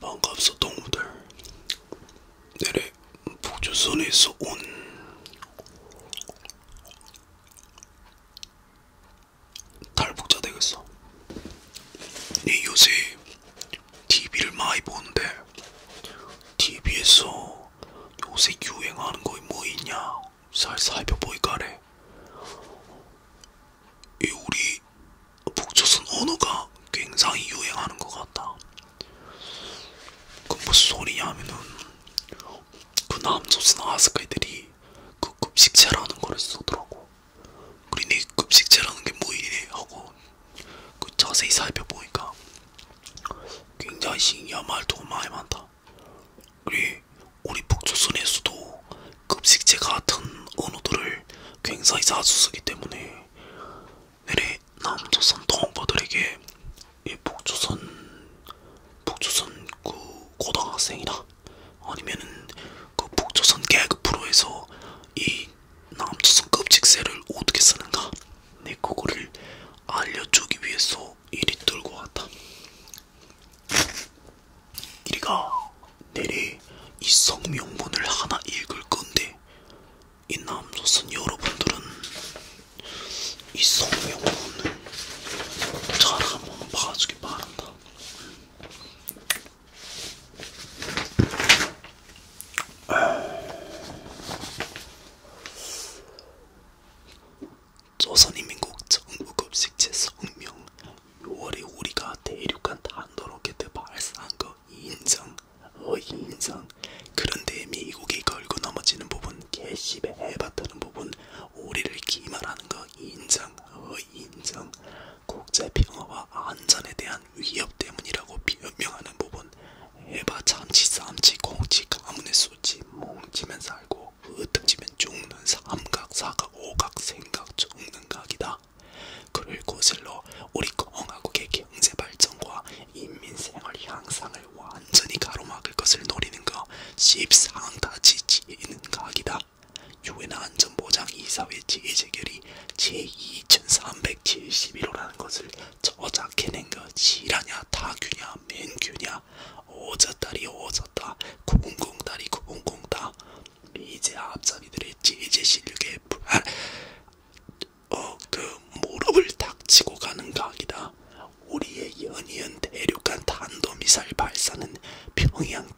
반갑소 동무들 내래 북조선에서 온 탈북자 되겠어 네 요새 TV를 많이 보는데 TV에서 요새 유행하는 거 뭐 있냐 살 살펴보이까래. 이 우리 북조선 언어가 굉장히 유행하는 것 같다. 그 무슨 소리냐면은 그 남조선 아스카이들이 그 급식체라는 거를 쓰더라고. 그리니 급식체라는 게 뭐이니 하고 그 자세히 살펴보니까 굉장히 신기한 말도 많이 많다. 그래, 우리 북조선에서도 급식체 같은 언어들을 굉장히 자주 쓰기 때문에 내래 남조선 동포들에게 이 북조선 북조선 그 고등학생이나 아니면은 그 북조선 개그 프로에서 이 남조선 급식체를 어떻게 쓰는가 내 네, 그거를 알려주기 위해서 이리 뚫고 왔다. 이리가 내리 이 성명문을 하나 읽을 건데 이 남조선 여러분들은 이 성명문을 잘 한번 봐주기 바란다. 조선인민국 정부급식체 성명 6월에 우리가 대륙간 탄도로켓 발사한 거 인정 어 인정 그런데 미국이 걸고 넘어지는 부분 개십에 해봤다는 부분 우리를 기만하는 거 인정 어 인정 국제평화와 안전에 대한 위협 때문이라고 변명하는 부분 해봐 참치 쌈치 콩치 가문의 수치 멍치면 살고 으뜩치면 죽는 삼각 사각 오각 생각 죽는 각이다. 그를 고슬러 우리 공화국의 경제 발전과 인민 생활 향상을 완전히 가로막을 것을 노리는 것 십상다치 지는 각이다. 유엔 안전보장 이사회 제재결의 제2371호라는 것을 저자 걔는 그 지라냐 다규냐 맨규냐 오졌다리 오졌다 공공다리 공공다 이제 앞잡이들의 제재실력에 불안 아, 어그 무릎을 닥치고 가는 각이다. 우리의 연이은 대륙간 단도미사일 발사는 평양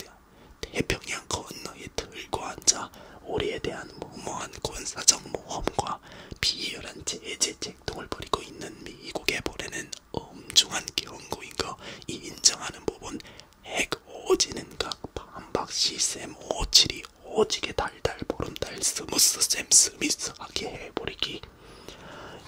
태평양 건너에 들고 앉아 우리에 대한 무모한 군사적 모험과 따라 비열한 제재제 행동을 벌이고 있는 미국의 보레는 엄중한 경고인 거 인정하는 부분 핵 오지는 각 반박 시스템 오칠이 오지게 달달 보름달 스무스 쌤 스미스하게 해버리기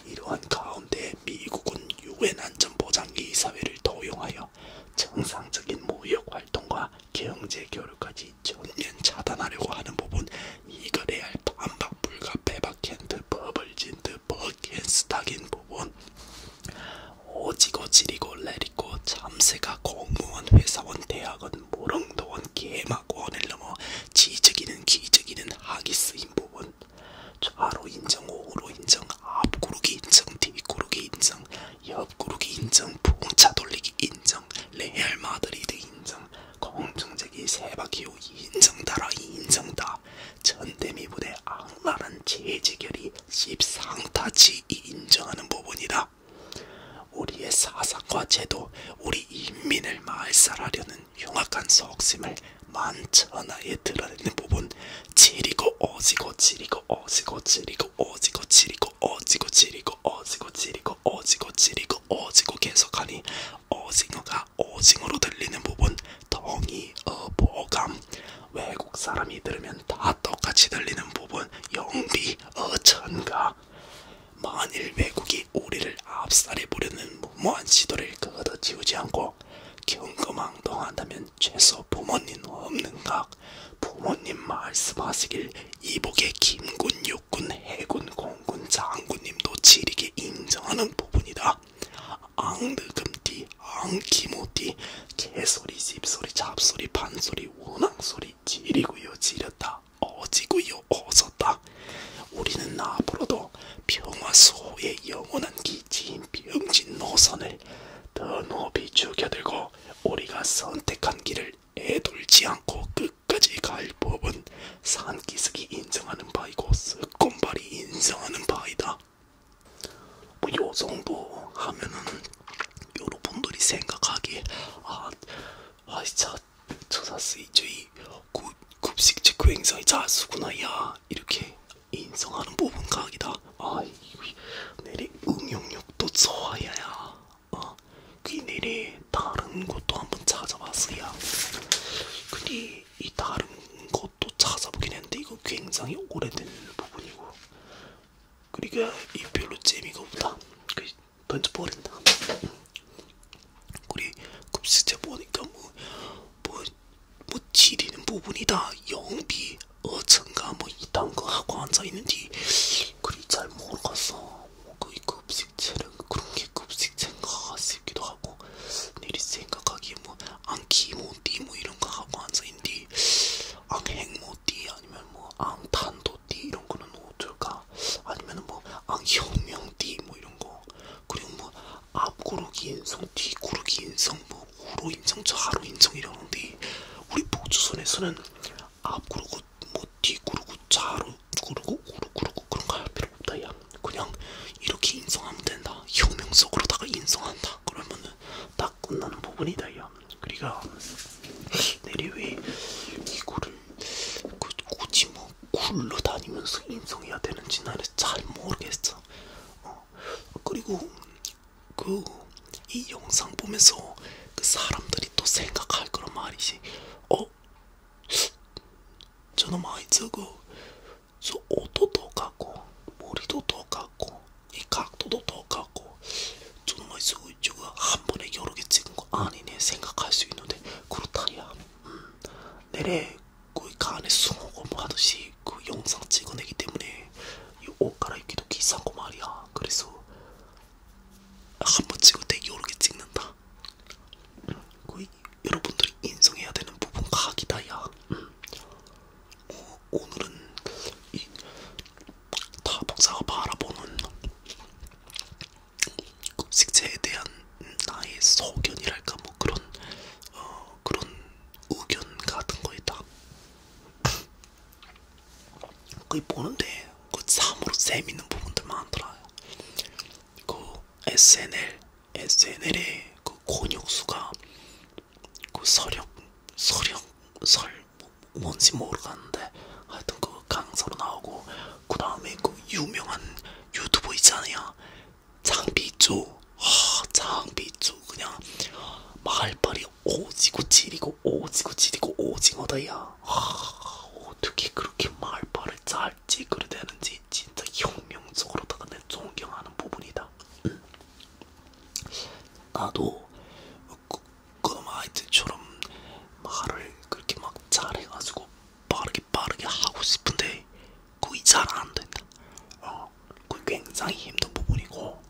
이러한 가운데 미국은 유엔 안전보장이사회를 도용하여 정상적인 무역 활동과 경제 교류까지 전면 차단하려고 하는 부분 이거 레알 반박 불가 배박 캔트 버블 진트 버겐스타긴 부분 오지고 지리고 레리고 참새가 공무원 회사원 대학원 모롱도원 개막원을 넘어 지적이는 기적이는 하기 쓰인 부분 좌로 인정, 우로 인정, 앞구르기 인정, 뒷구르기 인정, 옆구르기 인정, 부공차 돌리기 인정, 레알 마드리드 인정, 공중제기 세바퀴오 인정다라 인정다, 전대미 부대 악랄한 제지결이 십상타치 인정하는 부분이다. 우리의 사상과 제도, 우리 인민을 말살하려는 흉악한 속심을 만천하에 드러내는 부분, 지리고 어지고 지리고 어지고 지리고 어지고 지리고 어지고 지리고 어지고 지리고 어지고 지리고 어지고 계속하니 어징어가 오징어로 들리는 부분 덩이 어보감 외국 사람이 들으면 다 똑같이 들리는 부분 영비 어천가 만일 외국이 우리를 압살해 보려는 무모한 시도를 거둬 지우지 않고 경거망동한다면 최소 부모님 없는가 부모님 말씀하시길 이복의 김군, 육군, 해군, 공군, 장군님도 지리게 인정하는 부분이다. 앙느금띠, 앙기모띠, 개소리, 집소리, 잡소리, 반소리, 원앙소리 지리구요 지렸다. 어지구요 어졌다. 우리는 앞으로도 평화수호의 영원한 기지인 병진 노선을 더 높이 죽여들고 우리가 선택한 길을 애돌지 않고 끝까지 갈 법은 산기슭이 인정하는 바이고 쓱곰발이 인정하는 바이다. 뭐 요정도 하면은 여러분들이 생각하기에 아, 아 진짜 저사스이 저희 급식체크 행사의 자수구나 야 이렇게 인정하는 부분 각이다. 아이 내리 응용력도 좋아야 어그 내리 다른 것도 한번 찾아봤어요. 근데 이 다른 것도 찾아보긴 했는데 이거 굉장히 오래된 부분이고 그러니까 이 별로 재미가 없다. 그 던져버린다. 그리 급식제 보니까 뭐뭐 뭐, 뭐 지리는 부분이다. 영비 어쩐가 뭐 이딴 거 하고 앉아있는지 그리 잘 모르겠어 뭐 그게 급식체는 그런 게 급식체인가 싶기도 하고 내리 생각하기에 뭐 안키 모띠 뭐 이런 거 하고 앉아있는데 안행 모띠 아니면 뭐 안탄도띠 이런 거는 어쩔까 아니면 뭐 안혁명띠 뭐 이런 거 그리고 뭐 앞구르기 인성 뒤구르기 인성 뭐 우로 뭐 인정 저 하로 인정 이러는데 우리 보조선에서는 앞구르고 뭐 뒤구르고 좌로 구르고 구르구르고 그런 거할 필요 없다 야 그냥 이렇게 인성하면 된다 혁명적으로다가 인성한다 그러면은 딱 끝나는 부분이다 야 그러니까 내리왜 이거를 그 굳이 뭐 굴러다니면서 인성해야 되는지 나는 잘 모르겠어 어 그리고 그이 영상 보면서 그 사람들이 또 생각할 거란 말이지. 어? 저놈아 저거 그, 저 옷도 똑같고 머리도 똑같고 이 각도도 똑같고 저놈아 저거 그 저거 한 번에 여러 개 찍은 거 아니네 생각할 수 있는데 그렇다야. 음. 내래 그 간에 그 숭어고 뭐 하듯이 이렇게 그 영상 찍어내기 때문에 옷 갈아입기도 귀찮고 말이야. 그래서 한 번 찍을 때 여러 개 찍는다. 응. 그 여러분들이 인정해야 되는 부분 각이다야. 응. 음. 어, 오늘은 이 타복사가 바라보는 그 식재에 대한 나의 소견이랄까 뭐 그런 어, 그런 의견 같은 거에다 그게 보는데 그 참으로 재밌는 부분들 많더라. 그 SNL, SNL의 그 권혁수가 그 서력, 서력, 설 뭔지 모르겠는데 하여튼 그 강사로 나오고 그 다음에 그 유명한 유튜버 있잖아요. 장비주, 아, 장비주 그냥 말빨이 오지고 지리고 오지고 지리고 오징어다야. 아, 어떻게 그렇게 말빨을 잘 찌그려 되는지 진짜 혁명적으로다가 내 존경하는 부분이다. 응. 음. 나도 그, 그럼 아이들처럼 말을 그렇게 막 잘해가지고 빠르게 빠르게 하고 싶은데 그게 잘안 된다. 어, 그 굉장히 힘든 부분이고,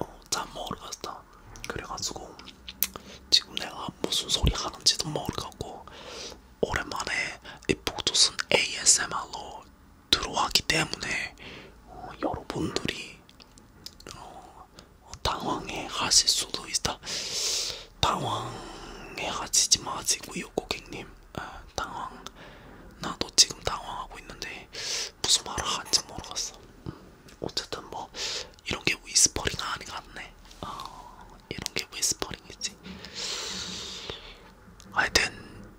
어, 잘 모르겠다. 그래가지고 지금 내가 무슨 소리 하는지도 모르겠고, 오랜만에 이 북두순 ASMR로 들어왔기 때문에 어, 여러분들이 어, 당황해 하실 수도 있다. 당황해 하시지 마시고요, 고객님. 아, 당황. 나도 지금 당황하고 있는데 무슨 말을 하는지 모르겠어. 어쨌든 뭐 이런 게 위스퍼링 아닌 것 같네. 어, 이런 게 위스퍼링이지. 하여튼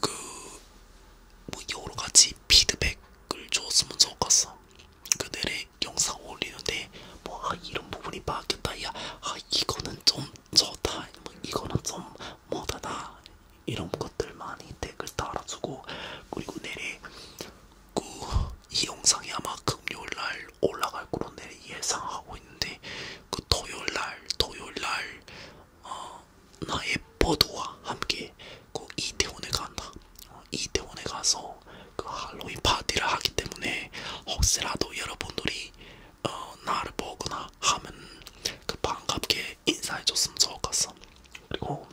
그 뭐 여러 가지 피드백을 줬으면 좋겠어. 그들의 영상 올리는데 뭐 아, 이런 부분이 바뀌었다. 야, 아, 이거는 좀 좋다, 뭐 이거는 좀 못하다 이런 것들 많이 댓글 달아주고 그리고 내일 그, 이 영상이 아마 금요일날 올라갈 거로 내일 예상하고 있는데 그 토요일날 토요일날 어, 나의 버드와 함께 그 이태원에 간다 어, 이태원에 가서 그 할로윈 파티를 하기 때문에 혹시라도 여러분들이 어, 나를 보거나 하면 그 반갑게 인사해줬으면 좋겠어. 그리고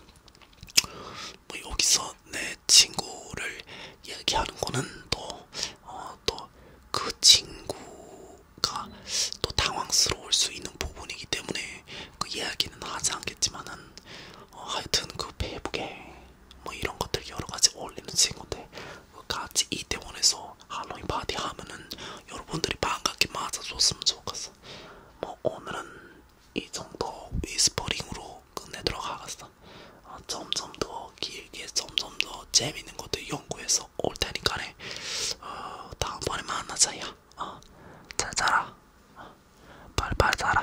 뭐 여기서 내 친구를 얘기하는 거는 또또그 어, 또 그 친구가 또 당황스러울 수 있는 부분이기 때문에 그 이야기는 하지 않겠지만은 어, 하여튼 그 페북에 뭐 이런 것들 여러 가지 올리는 친구인데 같이 이태원에서 할로윈 파티 하면은 여러분들이 반갑게 맞아줬으면 좋겠어. 뭐 오늘은 이 정도 위스퍼링으로 끝내도록 하겠어. 어, 점점 더 길게 점점 더 재밌는 것들 연구해서 올 테니까네. 어, 다음번에 만나자야. 어, 잘 자라. 어, 빨리빨리 자라.